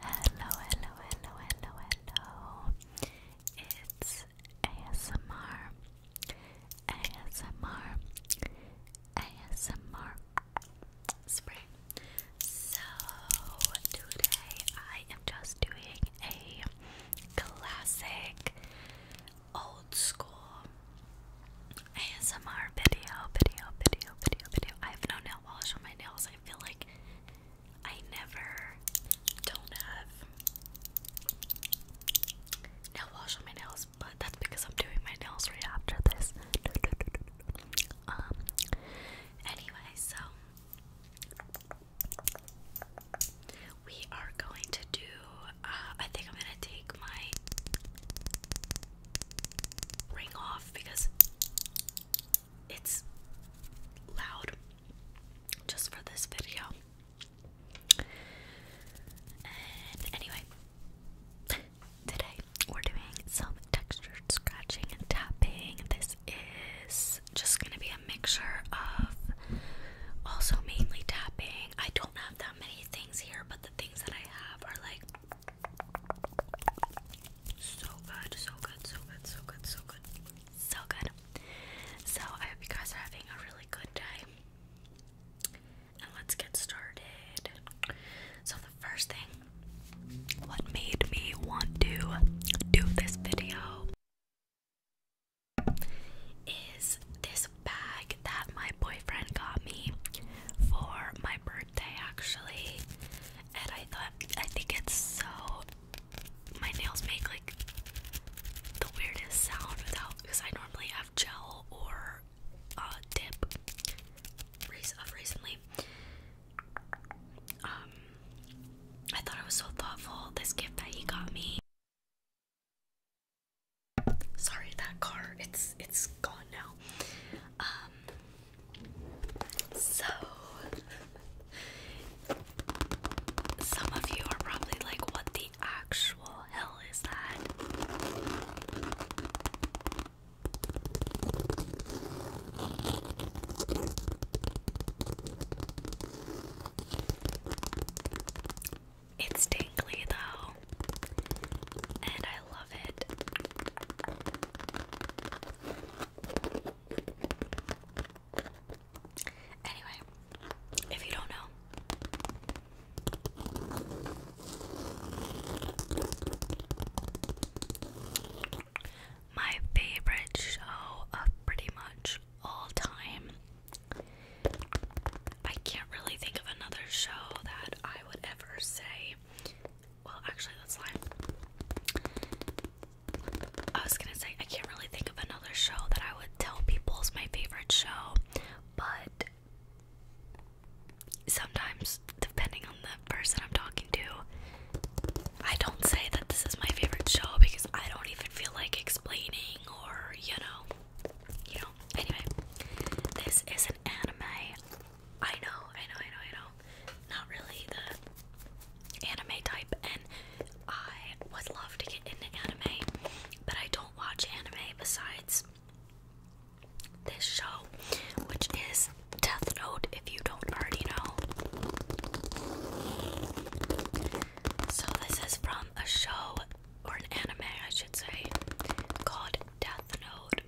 Hello, hello, hello, hello, hello. It's ASMR. ASMR. ASMR Spring. So today I am just doing a classic old school ASMR video, video, video, video, video. I have no nail polish on my nails. I feel like I never don't have nail polish on my nails, but that's because I'm doing my nails right after this. Um. Anyway, so we are going to do. Uh, I think I'm gonna take my ring off because it's loud just for this video. And anyway, today we're doing some textured scratching and tapping. This is just gonna be a mixture of also mainly tapping. I don't have that many things here, but the things that I have are like so good, so good, so good, so good, so good, so good. So I hope you guys are having a really good day. And let's get started. So, the first thing, what made me want to do this video is this bag that my boyfriend got me for my birthday actually, and I thought I think it's so. My nails make like the weirdest sound without because I normally have gel or uh, dip. Of recently, um, I thought it was so thoughtful. This gift that he got me. Sorry, that car, it's it's gone now. Um so some of you are probably like, what the actual hell is that? It's tingly though and I love it. Anyway, if you don't know, my favorite show of pretty much all time. I can't really think of another show that I would ever say well, actually, that's lie. I was gonna say I can't really think of another show that I would tell people is my favorite show, but sometimes, depending on the person I'm talking to, I don't say that this is my favorite show because I don't even feel like explaining or you know, you know. Anyway, this is an anime I know, I know, I know, I know. Not really the anime type, and I would love to get into anime, but I don't watch anime besides this show, which is Death Note, if you don't already know. So, this is from a show or an anime, I should say, called Death Note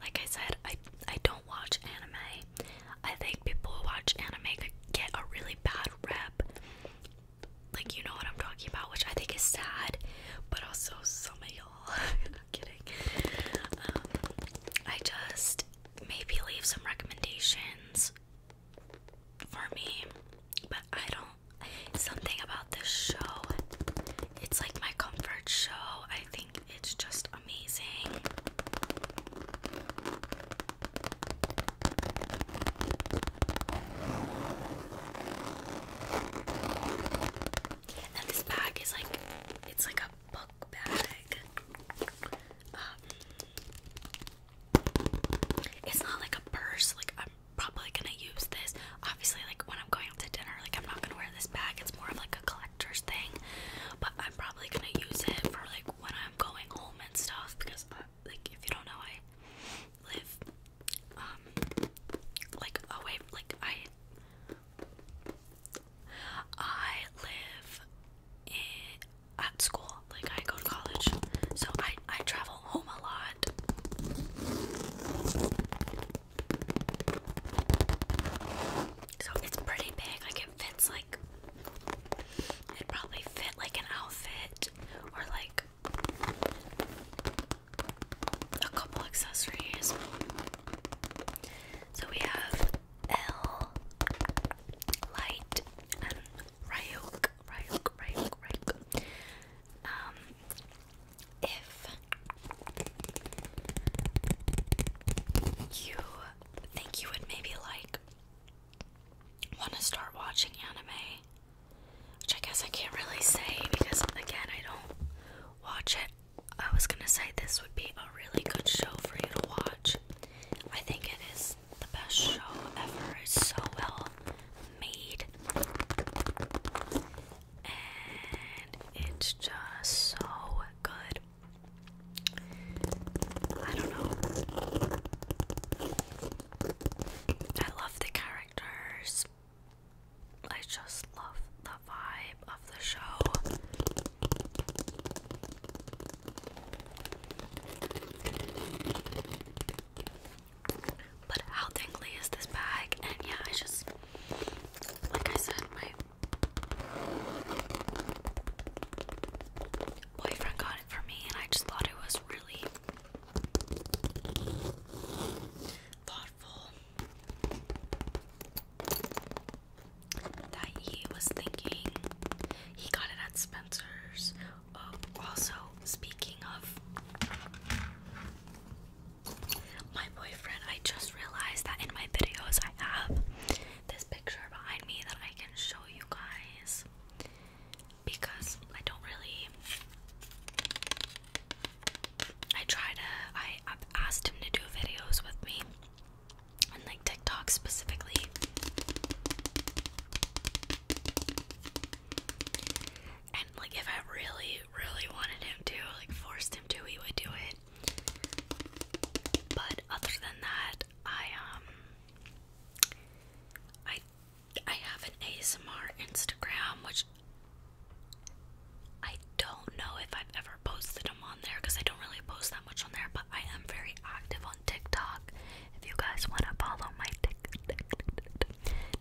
like I said, I I don't watch anime. I think people watch anime get a really bad rep. Like you know what I'm talking about, which I think is sad, but also some of y'all. Not kidding. Um, I just maybe leave some recommendations for me, but I don't. Something about this show it's like my comfort show. I think it's just amazing. And this bag is like it's like a book bag. Um, it's not like a purse. Like I'm probably gonna use this. Obviously, like when I'm going to dinner. Like, I'm not gonna wear this bag. It's more of like a collector's thing, but I'm probably gonna use it for like when I'm going home and stuff. Because, uh, like, if you don't know, I live um like away. Like, I I live at school. Like, I go to college, so I I travel home a lot. So it's pretty big, like it fits like it probably fit like an outfit or like a couple accessories. So we have L Light and Ryuk, Ryuk, Ryuk, Ryuk. Um if you think you would maybe like want to start watching anime, which I guess I can't really say because again, I don't watch it. I was gonna say this would be a really good show for you to watch. I think it is the best show ever. It's so well made and it's just so good. I don't know. I love the characters. I just love the vibe of the show. But how dingly is this bag? And yeah, I just like I said, my boyfriend got it for me, and I just thought it was really thoughtful that he was thinking he got it at Spencer's. Oh, also, speaking of my boyfriend, I just realized that in my videos I have this picture behind me that I can show you guys because I don't really. I try to. I, have asked him to do videos with me and like TikTok specifically. And like if I really, really wanted him to, like forced him to, he would do it. But other than that, I um I I have an ASMR Instagram which I don't know if I've ever posted them on there because I don't really post that much on there, but I am very active on TikTok. If you guys want to follow my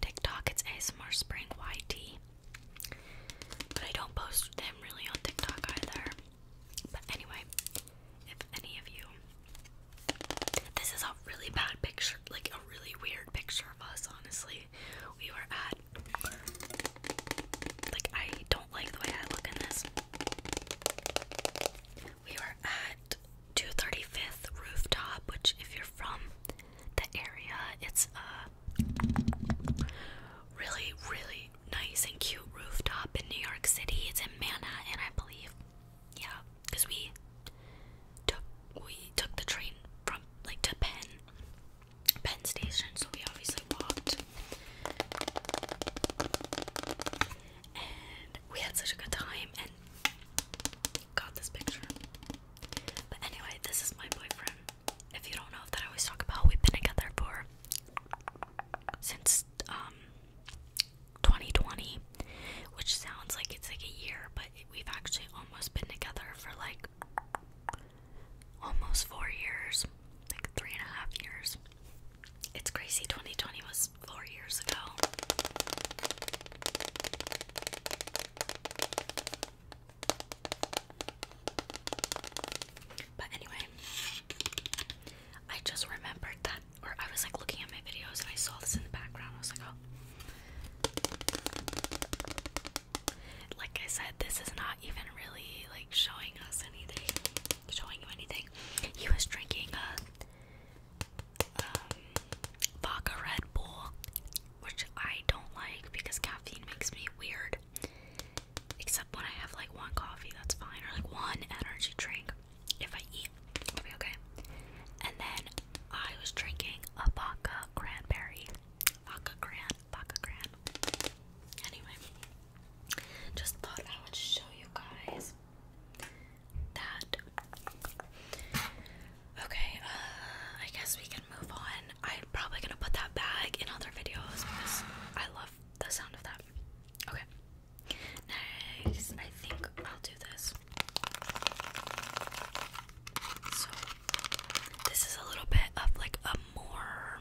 TikTok, it's ASMR Spring YT. But I don't post them really on TikTok either. But anyway, if any of you. This is a really bad picture, like a really weird picture of us, honestly. We were at. Like, I don't like the way I look in this. We were at 235th Rooftop, which, if you're from the area, it's uh, really, really nice and cute rooftop in New York City. It's in Manhattan, I believe. Yeah, because we took we took the train from like to Penn, Penn Station, so we obviously walked. And we had such a good time and got this picture. But anyway, this is my boyfriend if you don't know that I always talk about, we've been together for since 2020, um, which sounds like it's like a year, but we've actually almost been together for like almost four years, like three and a half years. It's crazy. 2020 was four years ago. But anyway, I just remembered that, or I was like looking at my videos and I saw this in the background. I was like, oh. Like I said, this is not even really like showing us anything, showing you anything. He was drinking a uh, um, vodka Red Bull, which I don't like because caffeine makes me weird. Except when I have like one coffee, that's fine, or like one energy drink. If I eat, it'll be okay. And then I was drinking a vodka cranberry. Vodka cran, vodka cran. Anyway, just thought I would show you guys that. Okay, uh, I guess we move on. I'm probably gonna put that bag in other videos because I love the sound of that. Okay. Next, I think I'll do this. So, this is a little bit of like a more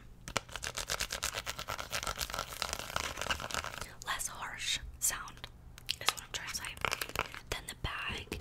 less harsh sound, is what I'm trying to say, than the bag.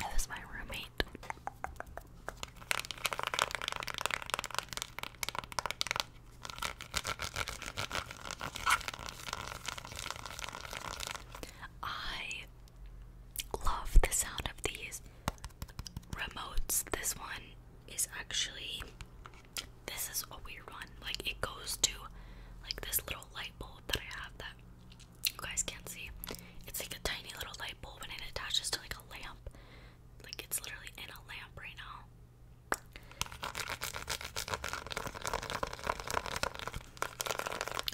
That was my roommate. I love the sound of these remotes. This one is actually this is a weird one. Like it goes to like this little light bulb that I have that you guys can't see. It's like a tiny little light bulb and it attaches to like a lamp. Like it's literally in a lamp right now.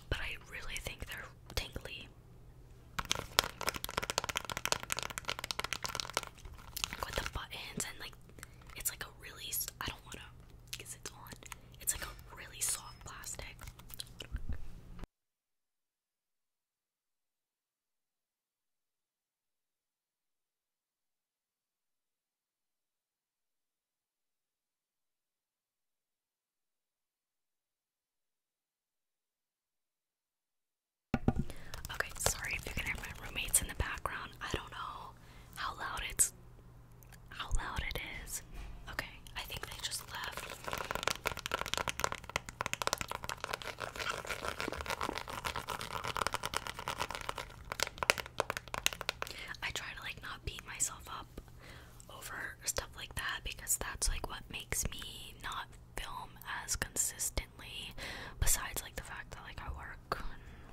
But I really think they're tingly. with the buttons and like it's like a really I don't wanna because it's on. It's like a really soft plastic. Okay, sorry if you can hear my roommates in the background. I don't know how loud it's how loud it is. Okay, I think they just left. I try to like not beat myself up over stuff like that because that's like what makes me not film as consistently besides like the fact that like I work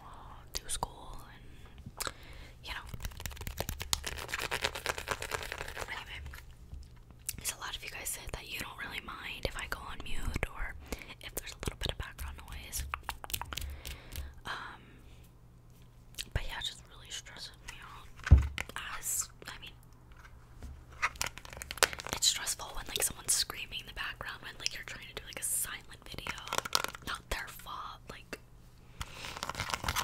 uh, do school and you know. Anyway, a lot of you guys said that you don't really mind if I go on mute or if there's a little bit of background noise. Um, but yeah, it just really stresses me out. As I mean, it's stressful when like someone's screaming in the background when like you're trying to do like a silent video. Not their fault, like Oh, oh, I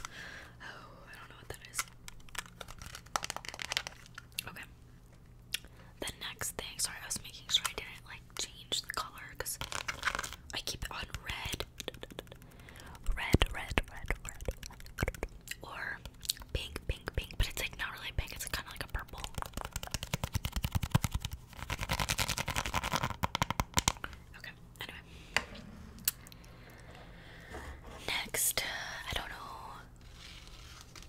don't know what that is. Okay. The next thing, sorry, I was making sure I didn't like change the color because I keep it on red. Red, red, red, Or pink, pink, pink. But it's like not really pink, it's kind of like a purple. Okay, anyway. Next, I don't know.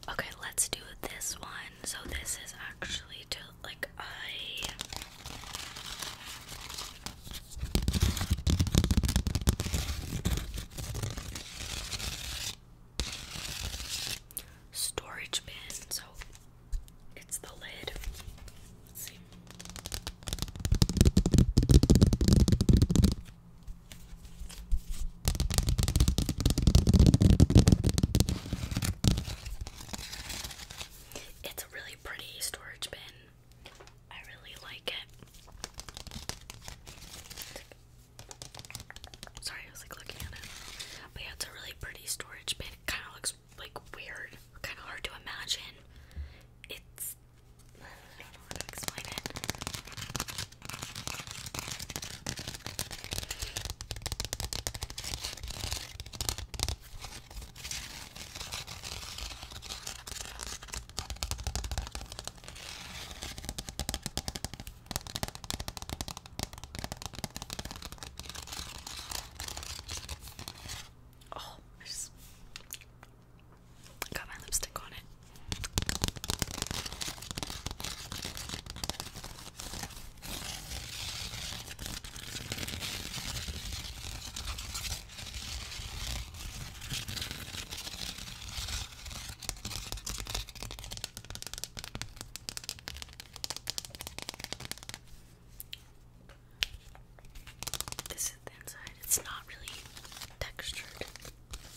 Okay, let's do this one. So this is actually to like I storage bin. So it's the lid. It's a really pretty storage bin. I really like it. Sorry, I was like looking at it. But yeah, it's a really pretty storage bin. kind of looks like weird, kind of hard to imagine. It's I don't to explain it. Oh, I just got my lipstick on it. This is the inside. It's not really textured.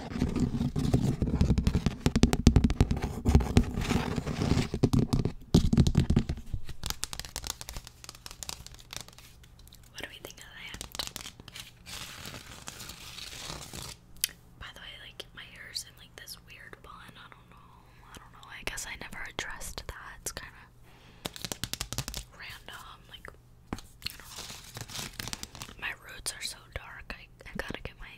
What do we think of that? By the way, like my hair's in like this weird bun. I don't know. I don't know. I guess I never addressed that. It's kind of random. Like, My roots are so dark. I I gotta get my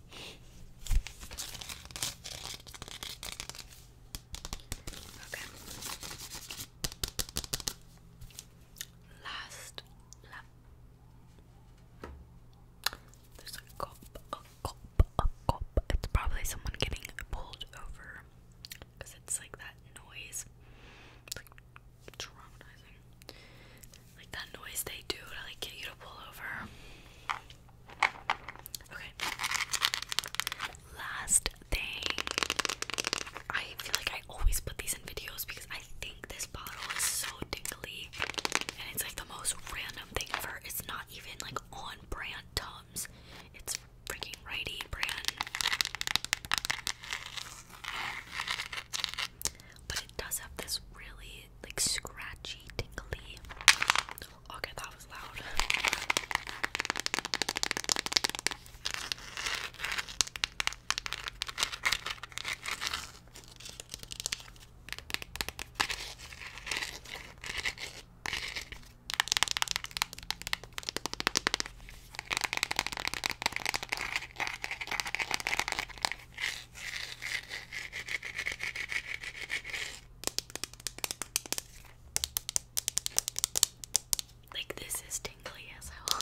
Last There's a cop, a cop, a cop. It's probably someone getting pulled over because it's like that noise. It's like traumatizing. Like that noise they do to like get you to pull over. Okay. Last thing. I feel like I always put these in videos because I think this bottle is so tingly. And it's like the most random thing ever. It's not even like on brand Tums. It's freaking righty brand. But it does have this really like scratchy, tingly Okay, that was loud. Like, this is tingly as hell.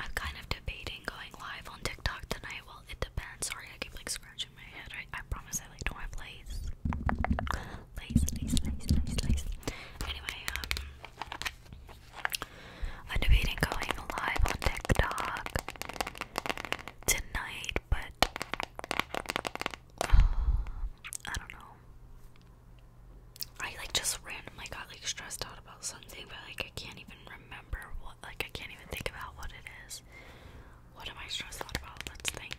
I'm kind of debating going live on TikTok tonight. Well, it depends. Sorry, I keep like scratching my head. I, promise I like don't have lace. Lace, lace, lace, lace, Anyway, um, debating going live on TikTok tonight, but um, I don't know. I like just randomly got like stressed out about something, but like I can't even remember what. Like I can't even think about what it is. What am I stressed out about? Let's think.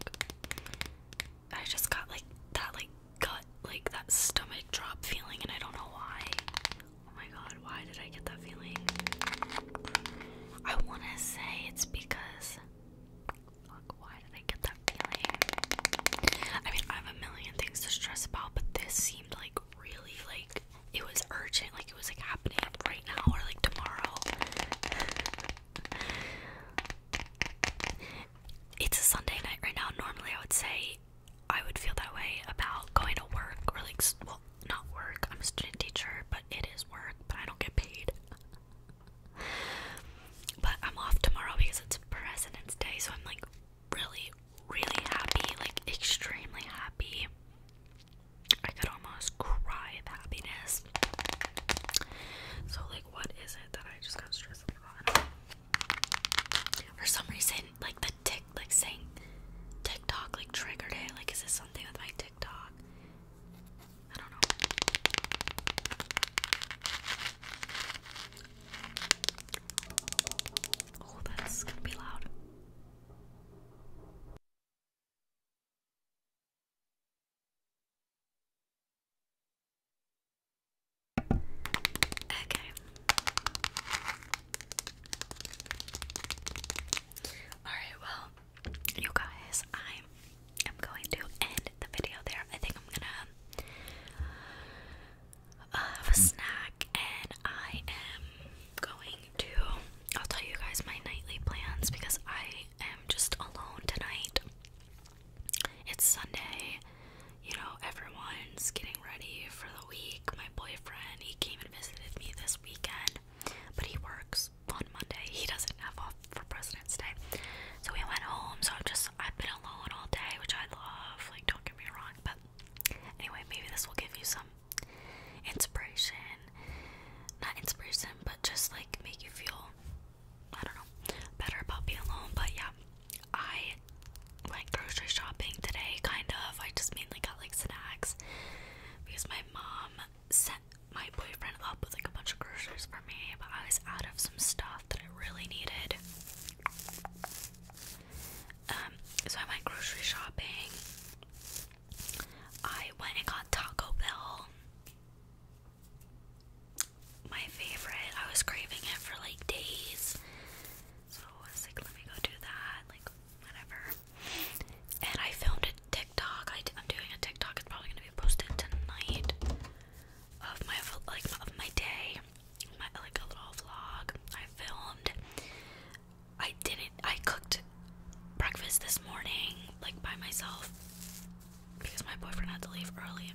I just got like that, like gut, like that stomach drop feeling, and I don't know why. Oh my god, why did I get that feeling? I want to say it's because. Look, why did I get that feeling? I mean, I have a million things to stress about, but this seemed like really like it was urgent, like it was like happening right now or like tomorrow. it's a Sunday night right now. Normally, I would say I would feel that way about going to work or like, not work. I'm a student teacher, but it is work, but I don't get paid. but I'm off tomorrow because it's President's Day, so I'm like really, really happy, like extremely happy. I could almost cry of happiness. So, like, what is it that I just got stressed about? For some reason, like the tick, like saying TikTok, like triggered it. Like, is this something with my TikTok? Oh, that's gonna be loud. Okay. All right, well, you guys, I am going to end the video there. I think I'm gonna uh, have a snack, and I am going to. I'll tell you guys my nightly plans because I am just alone tonight. It's Sunday, you know, everyone's getting ready for the week. My boyfriend, he came and visited me this weekend but he works on Monday. He doesn't have off for President's Day. So we went home. So i am just I've been alone all day, which I love. Like don't get me wrong, but anyway, maybe this will give you some inspiration. Not inspiration, but just like make you feel I don't know, better about being alone. But yeah, I went grocery shopping today, kind of. I just mainly got like snacks because my mom sent my boyfriend up with like a bunch of groceries for me, but I was out of some stuff that I really needed. Um, so I went grocery shopping. I went and got Taco Bell. My favorite. I was craving it for like days. So I like, let me go do that. Like whatever. And I filmed a TikTok. I, am doing a TikTok. It's probably gonna be posted tonight of my like of my day, my, like a little vlog. I filmed. I didn't. I cooked breakfast this morning, like by myself, because my boyfriend had to leave early.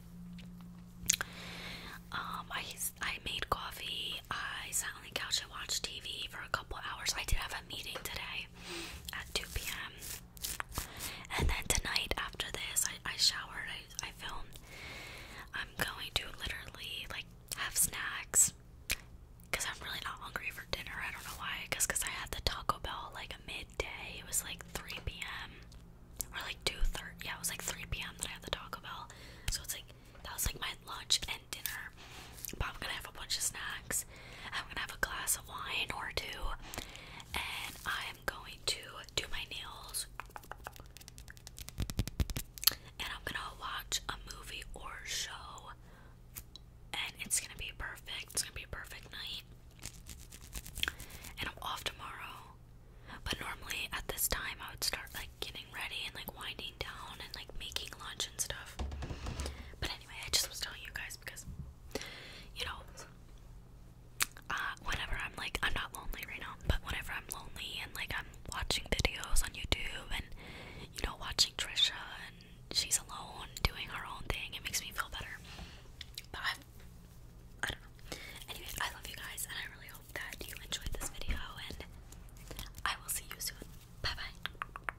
Um, I I made coffee. I sat on the couch and watched TV for a couple hours. I did have a meeting today at 2 p.m. And then tonight, after this, I, I showered, I, I filmed. I'm going to literally like have snacks because I'm really not hungry for dinner. I don't know why. Because cause I had the Taco Bell like a midday. It was like 3 p.m. or like two thirty. Yeah, it was like 3 p.m. that I had the Taco Bell. So it's like that was like my lunch and dinner. But I'm gonna have a bunch of snacks. I'm gonna have a glass of wine or two, and I'm going to do my nails. And I'm gonna watch a movie or show, and it's gonna be perfect. It's gonna be a perfect night. And I'm off tomorrow. But normally at this time, I would start like getting ready and like winding down and like making lunch and stuff. But I anyway, I just was telling you guys because, you know, uh, whenever I'm like, I'm not lonely right now, but whenever I'm lonely and like I'm watching videos on YouTube and, you know, watching Trisha and she's alone doing her own thing, it makes me feel better. But I've, I do not know. Anyways, I love you guys and I really hope that you enjoyed this video and I will see you soon. Bye bye.